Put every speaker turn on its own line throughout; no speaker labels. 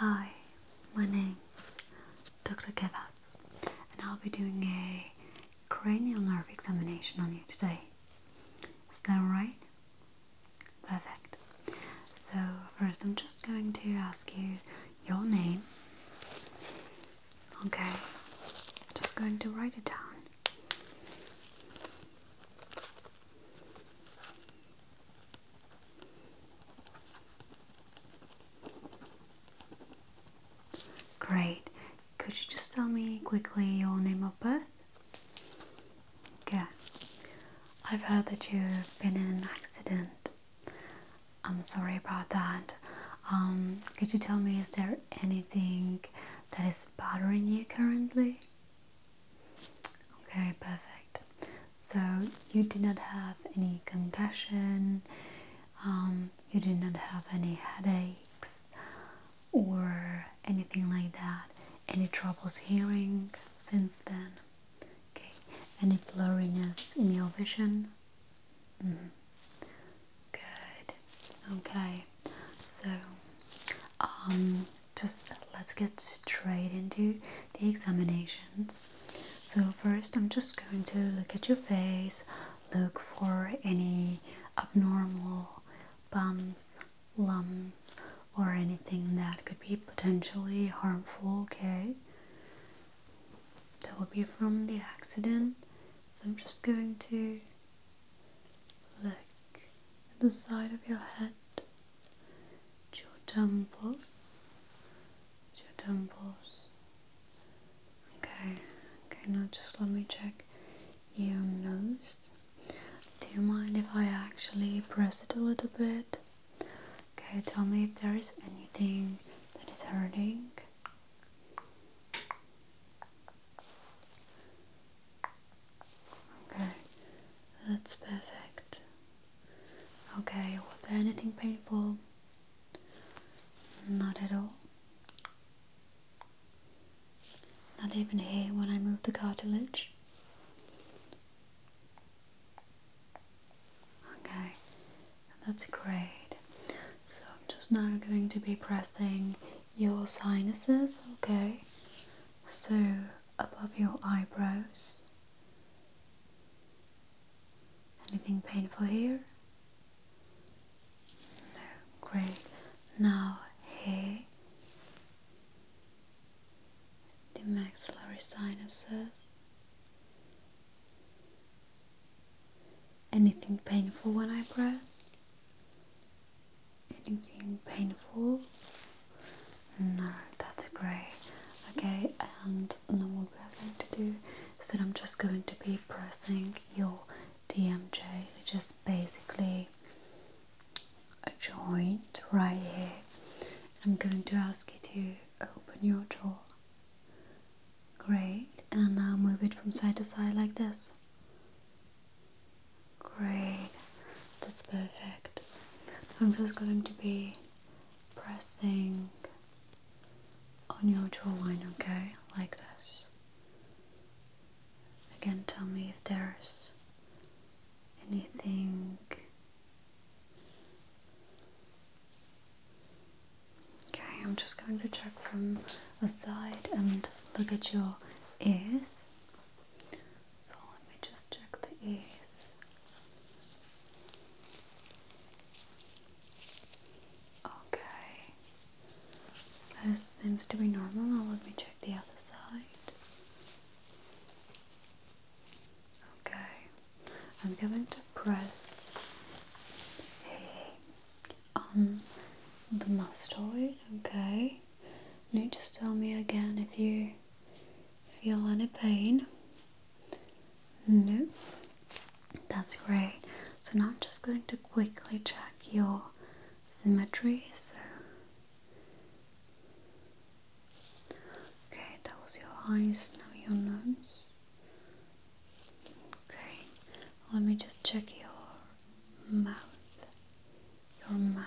Hi, my name's Dr. Kevats, and I'll be doing a cranial nerve examination on you today. Is that alright? Perfect. So, first, I'm just going to ask you your name Okay, just going to write it down. Great. Could you just tell me quickly your name of birth? Yeah. I've heard that you've been in an accident. I'm sorry about that. Um, could you tell me, is there anything that is bothering you currently? Okay, perfect. So, you did not have any concussion, um, you did not have any headaches or anything like that, any troubles hearing since then? Okay, any blurriness in your vision? Mm-hmm. Good. Okay. So, um, just let's get straight into the examinations. So first, I'm just going to look at your face, look for any abnormal bumps, lumps, or anything that could be potentially harmful. Okay. That will be from the accident. So I'm just going to look at the side of your head, your temples, your temples. Okay, okay, now just let me check your nose. Do you mind if I actually press it a little bit? Okay, tell me if there is anything that is hurting. Okay, that's perfect. Okay, was there anything painful? Not at all. Not even here when I moved the cartilage. Okay, that's great. So I'm just now going to be pressing your sinuses, okay? So above your eyebrows. Anything painful here? No, great. Now here, the maxillary sinuses. Anything painful when I press? Anything painful? No, that's great. Okay, and now what we are going to do is that I'm just going to be pressing your DMJ, which is basically a joint right here. I'm going to ask you to open your jaw Great, and now move it from side to side like this. Great, that's perfect. I'm just going to be pressing on your jawline, okay? Like this. Again, tell me if there's anything Okay, I'm just going to check from the side and look at your ears. So let me just check the ears. Okay, this seems to be normal. Now let me check the other side. Okay, I'm going to press on the mastoid, okay? Now just tell me again if you feel any pain. No? That's great. So now I'm just going to quickly check your symmetry. So Okay, that was your eyes, now your nose. Okay, let me just check your mouth. Your mouth.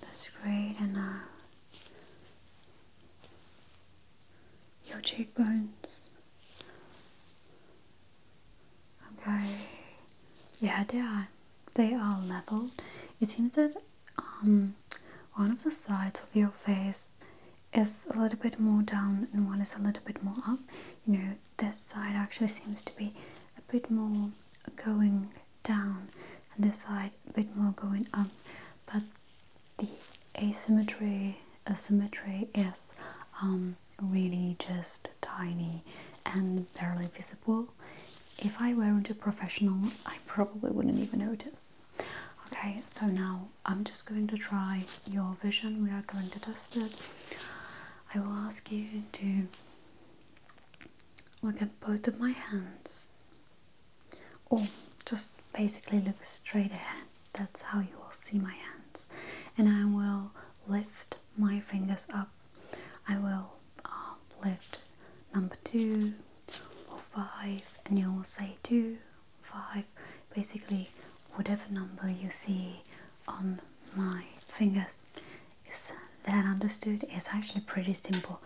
That's great, enough. your cheekbones. Okay, yeah, they are. They are level. It seems that um, one of the sides of your face is a little bit more down and one is a little bit more up. You know, this side actually seems to be a bit more going down and this side a bit more going up. But the asymmetry, asymmetry is um, really just tiny and barely visible. If I weren't a professional, I probably wouldn't even notice. Okay, so now I'm just going to try your vision. We are going to test it. I will ask you to look at both of my hands, or just basically look straight ahead. That's how you will see my hands. And I will lift my fingers up. I will uh, lift number two or five, and you will say two five basically whatever number you see on my fingers is that understood it's actually pretty simple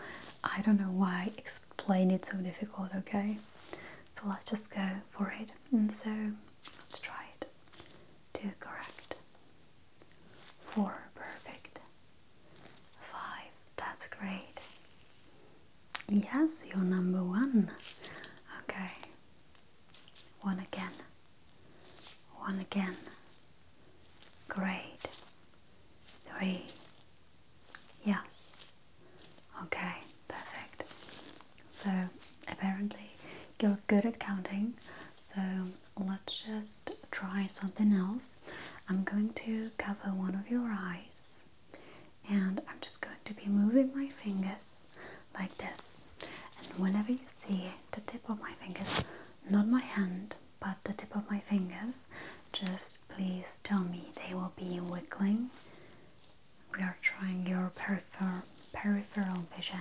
i don't know why i explain it so difficult okay so let's just go for it and so let's try it two correct four perfect five that's great Yes, you're number one. Okay. One again. One again. Great. Three. Yes. Okay, perfect. So, apparently, you're good at counting. So, let's just try something else. I'm going to cover one of your eyes. And I'm just going to be moving my fingers like this. And whenever you see the tip of my fingers, not my hand, but the tip of my fingers, just please tell me they will be wiggling. We are trying your peripheral vision,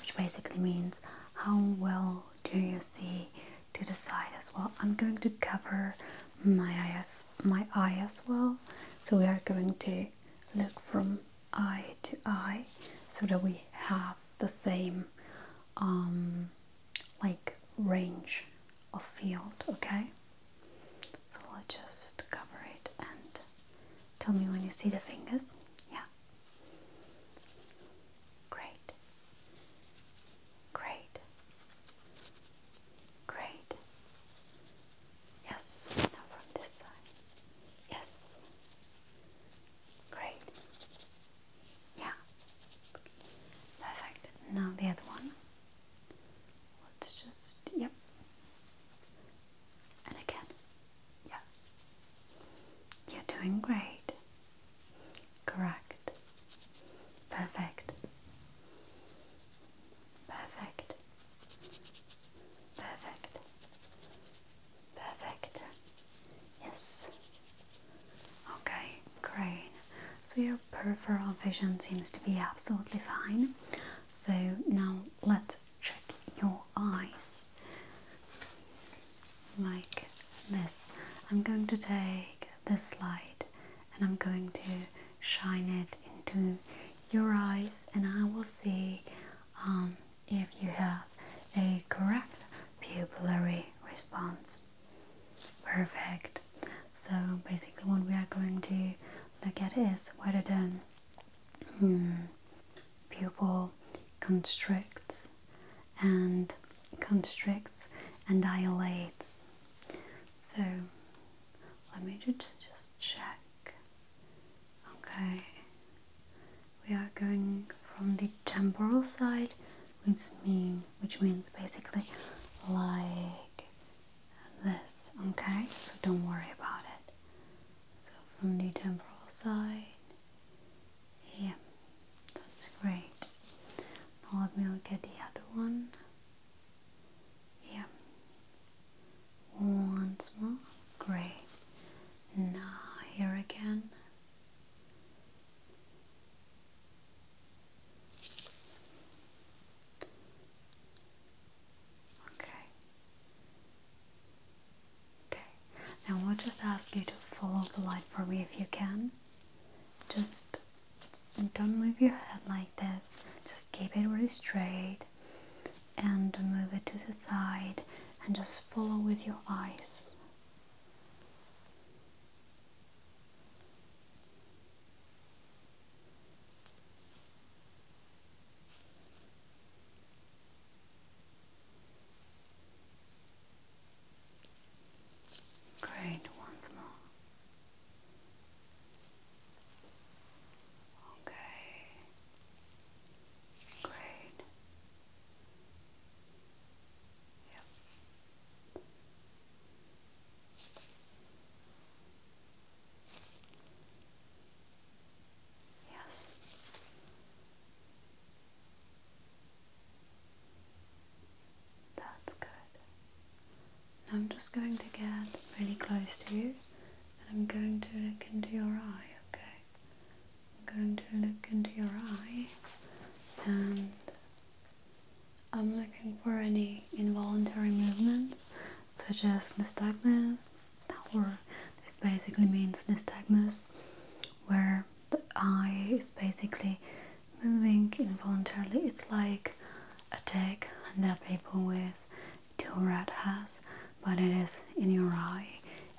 which basically means how well do you see to the side as well. I'm going to cover my eye as, my eye as well. So we are going to look from eye to eye so that we have the same um, like range of field, okay? So I'll just cover it and tell me when you see the fingers. Yeah. Great. Great. Great. Yes. Now from this side. Yes. Great. Yeah. Perfect. Now the other one. Let's just. Yep. And again. Yeah. You're doing great. Correct. Perfect. Perfect. Perfect. Perfect. Yes. Okay, great. So your peripheral vision seems to be absolutely fine. So now let's check your eyes. Like this. I'm going to take this light and I'm going to shine it into your eyes and I will see um, if you have a correct pupillary response. Perfect. So basically what we are going to look at is whether the hmm, pupil constricts and constricts and dilates. So let me just, just check. Okay, we are going from the temporal side, which mean which means basically like this. Okay, so don't worry about it. So from the temporal side, yeah, that's great. Now let me look at the other one. Yeah. Once more. Great. Now here again. Okay. Okay. Now i will just ask you to follow the light for me if you can. Just don't move your head like this just keep it really straight and move it to the side and just follow with your eyes Great, once more. Okay. Great. Yep. Yes. That's good. I'm just going to get really close to you and I'm going to look into your eye, okay? I'm going to look into your eye and I'm looking for any involuntary movements such as nystagmus or this basically means nystagmus where the eye is basically moving involuntarily. It's like attack that people with two red has, but it is in your eye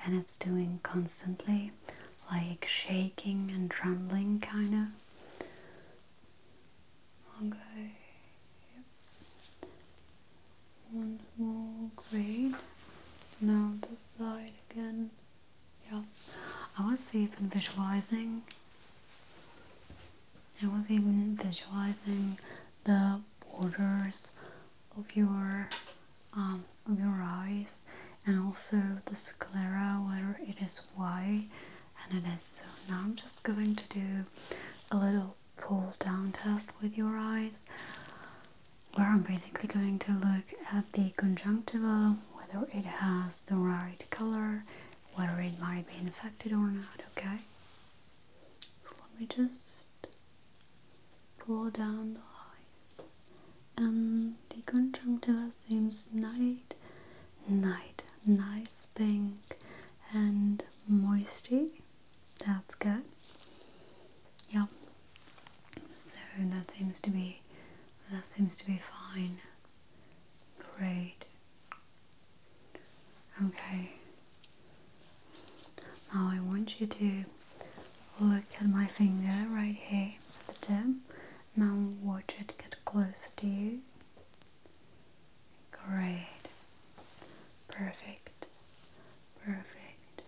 and it's doing constantly like shaking and trembling kind of okay one more grade now this side again yeah I was even visualizing I was even visualizing the borders of your um, of your eyes and also the sclera whether it is white and it is so now I'm just going to do a little pull down test with your eyes where I'm basically going to look at the conjunctiva whether it has the right color whether it might be infected or not, okay? So let me just pull down the eyes and um, the conjunctiva seems night, night, nice pink and moisty. That's good. Yep. So that seems to be that seems to be fine. Great. Okay. Now I want you to look at my finger right here at the tip. Now watch it get closer to you. Great. Perfect. Perfect.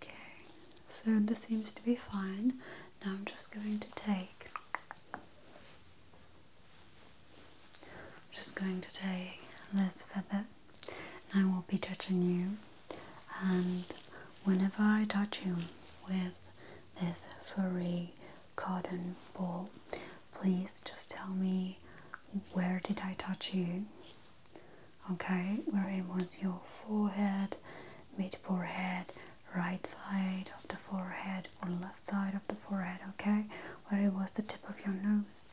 Okay. So this seems to be fine. Now I'm just going to take I'm just going to take this feather and I will be touching you and whenever I touch you with this furry cotton ball please just tell me where did I touch you okay where it was your forehead mid forehead right side of the forehead or left side of the forehead, okay? Where it was the tip of your nose.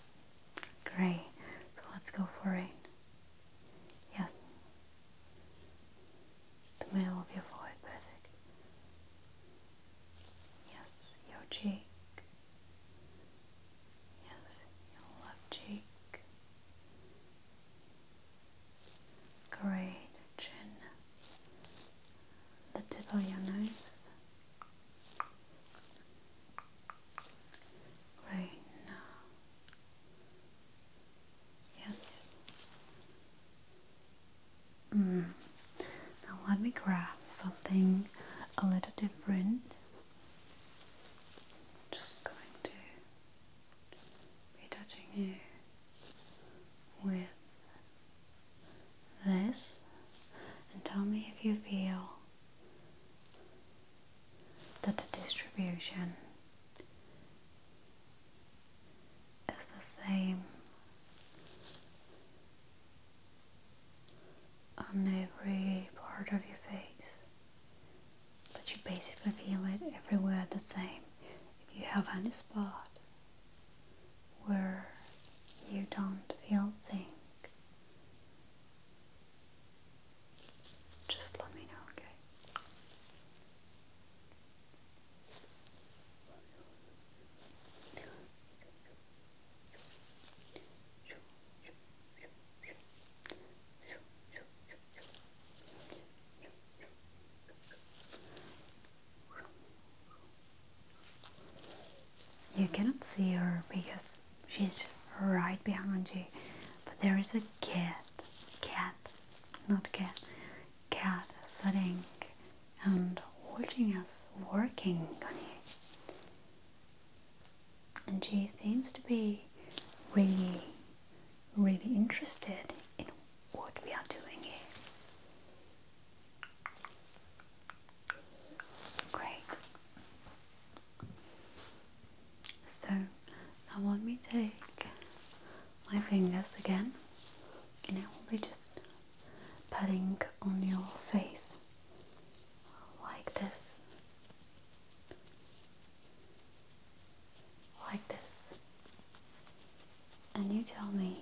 Great. So let's go for it. Yes. The middle of your forehead, perfect. Yes, your cheek. Yes, your left cheek. Great chin the tip of your nose. Right now. Yes. Mm. Now let me grab something a little different. just going to be touching you with this and tell me if you feel that the distribution is the same on every part of your face but you basically feel it everywhere the same if you have any spot where you don't feel thing. Just let me know, okay? You cannot see her because she's right behind you, but there is a cat, cat, not cat, cat sitting and watching us working on And she seems to be really, really interested in what we are doing here. Great. So now let me take my fingers again and I will be just patting on your face like this. Like this, and you tell me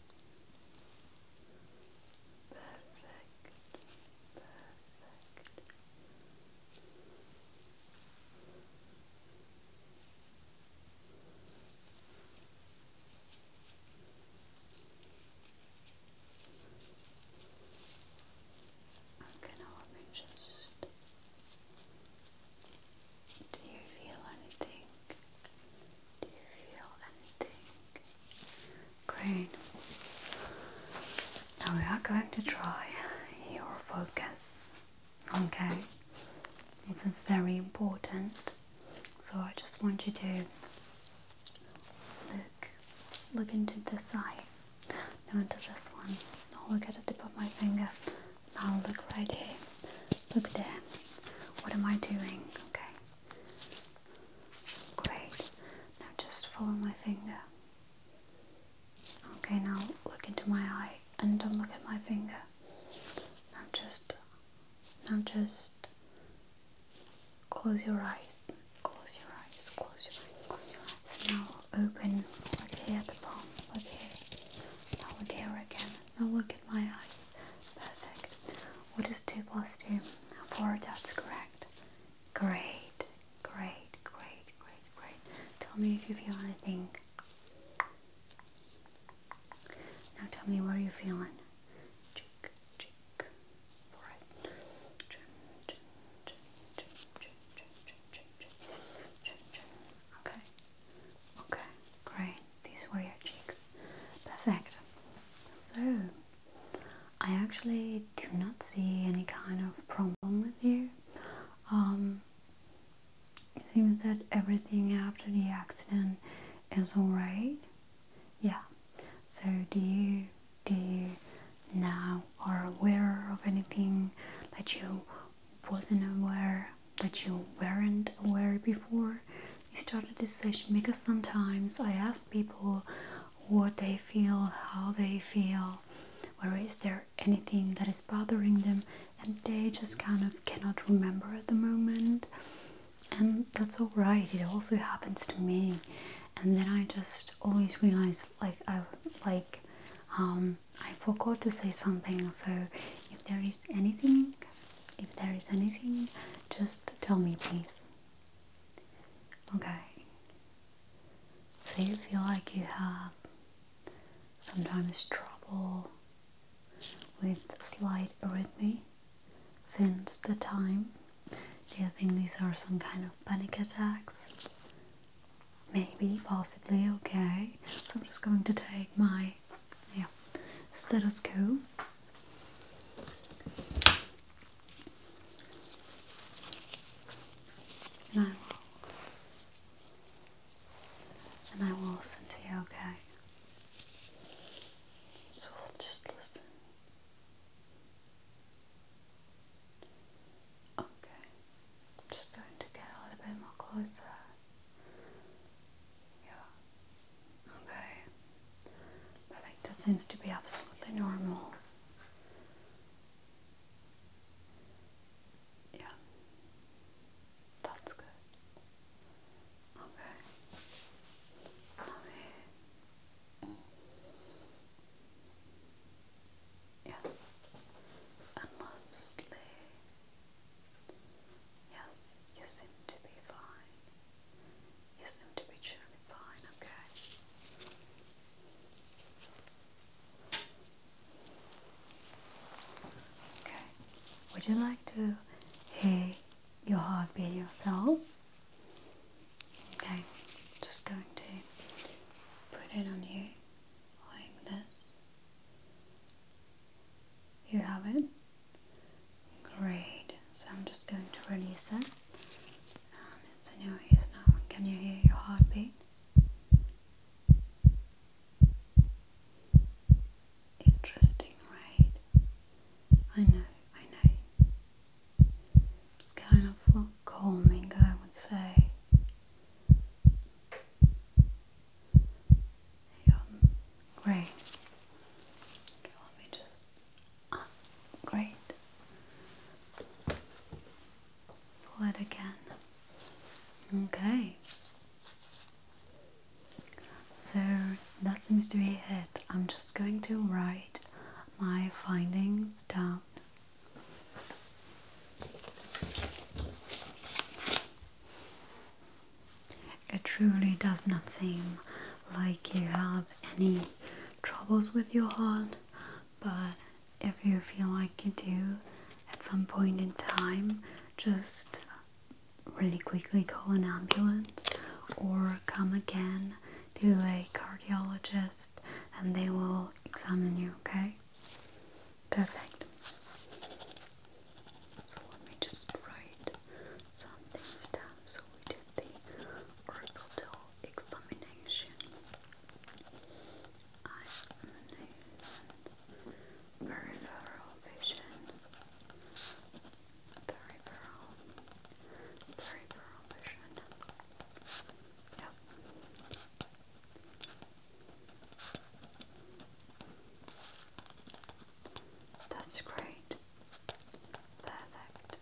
Perfect. Perfect. Okay, now let me just. Do you feel anything? Do you feel anything? Great. Now we are going to try your focus. Okay? This is very important. So I just want you to look look into this eye. Now into this one. Now look at the tip of my finger. Now look right here. Look there. What am I doing? Okay. Great. Now just follow my finger. Okay, now look into my eye and don't look at my finger. Now just now just close your eyes. Close your eyes. Close your eyes. Close your eyes. Now open. Look here at the palm. Look Now look here again. Now look my eyes. Perfect. What is 2 plus 2? 4, that's correct. Great, great, great, great, great. Tell me if you feel anything. Now tell me where you feeling. Cheek, cheek, forehead. chin, chin, chin, chin, chin, chin, chin, chin, chin. Okay. Okay, great these were your cheeks. Perfect. So, I actually do not see any kind of problem with you. Um, it seems that everything after the accident is alright. Yeah. So, do you do you now are aware of anything that you wasn't aware that you weren't aware before you started this session because sometimes I ask people what they feel, how they feel, or is there anything that is bothering them, and they just kind of cannot remember at the moment. And that's alright, it also happens to me. And then I just always realize like I like um, I forgot to say something so if there is anything if there is anything, just tell me, please. Okay. So you feel like you have sometimes trouble with slight arrhythmia since the time. Do you think these are some kind of panic attacks? Maybe, possibly, okay. So I'm just going to take my yeah, status quo. And I will, and I will listen to you, okay? So we'll just listen. Okay, I'm just going to get a little bit more closer. Yeah. Okay. Perfect. That seems to be absolutely normal. Yeah. That's good. Okay. Let Yes. And lastly, Yes, you seem to be fine. You seem to be truly fine, okay? Okay. Would you like to hear your heartbeat yourself? Okay, just going to put it on you like this. You have it? Great. So I'm just going to release it. Um, it's in your ears now. Can you hear your heartbeat? Interesting, right? I know, I know. It's kind of calming, I would say. Um, great. Okay, let me just. Uh, great. Pull again. Okay. So that seems to be it. I'm just going to write my findings down. It truly does not seem like you have any troubles with your heart, but if you feel like you do at some point in time, just really quickly call an ambulance or come again to a cardiologist and they will examine you, okay? Perfect. So let me just write some things down. So we did the orbital examination. Eye examination. Peripheral vision. Peripheral. Peripheral vision. Yep. That's great. Perfect.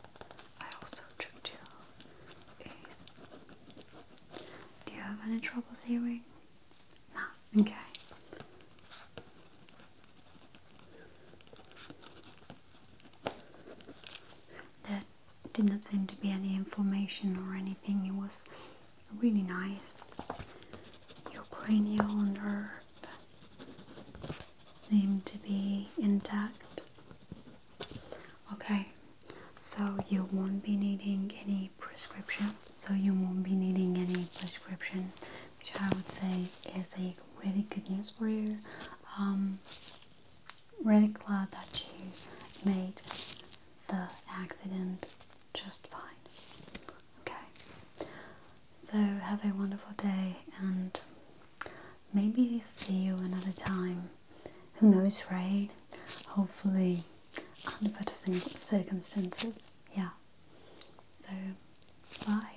I also checked you. Is do you have any troubles hearing? No. Okay. There did not seem to be any inflammation or anything. It was really nice. Your cranial seem to be intact. Okay, so you won't be needing any prescription. So you won't be needing any prescription, which I would say is a really good news for you. Um, really glad that you made the accident just fine. Okay? So, have a wonderful day and maybe see you another time. Who knows, right? Hopefully, under better circumstances. Yeah. So, bye.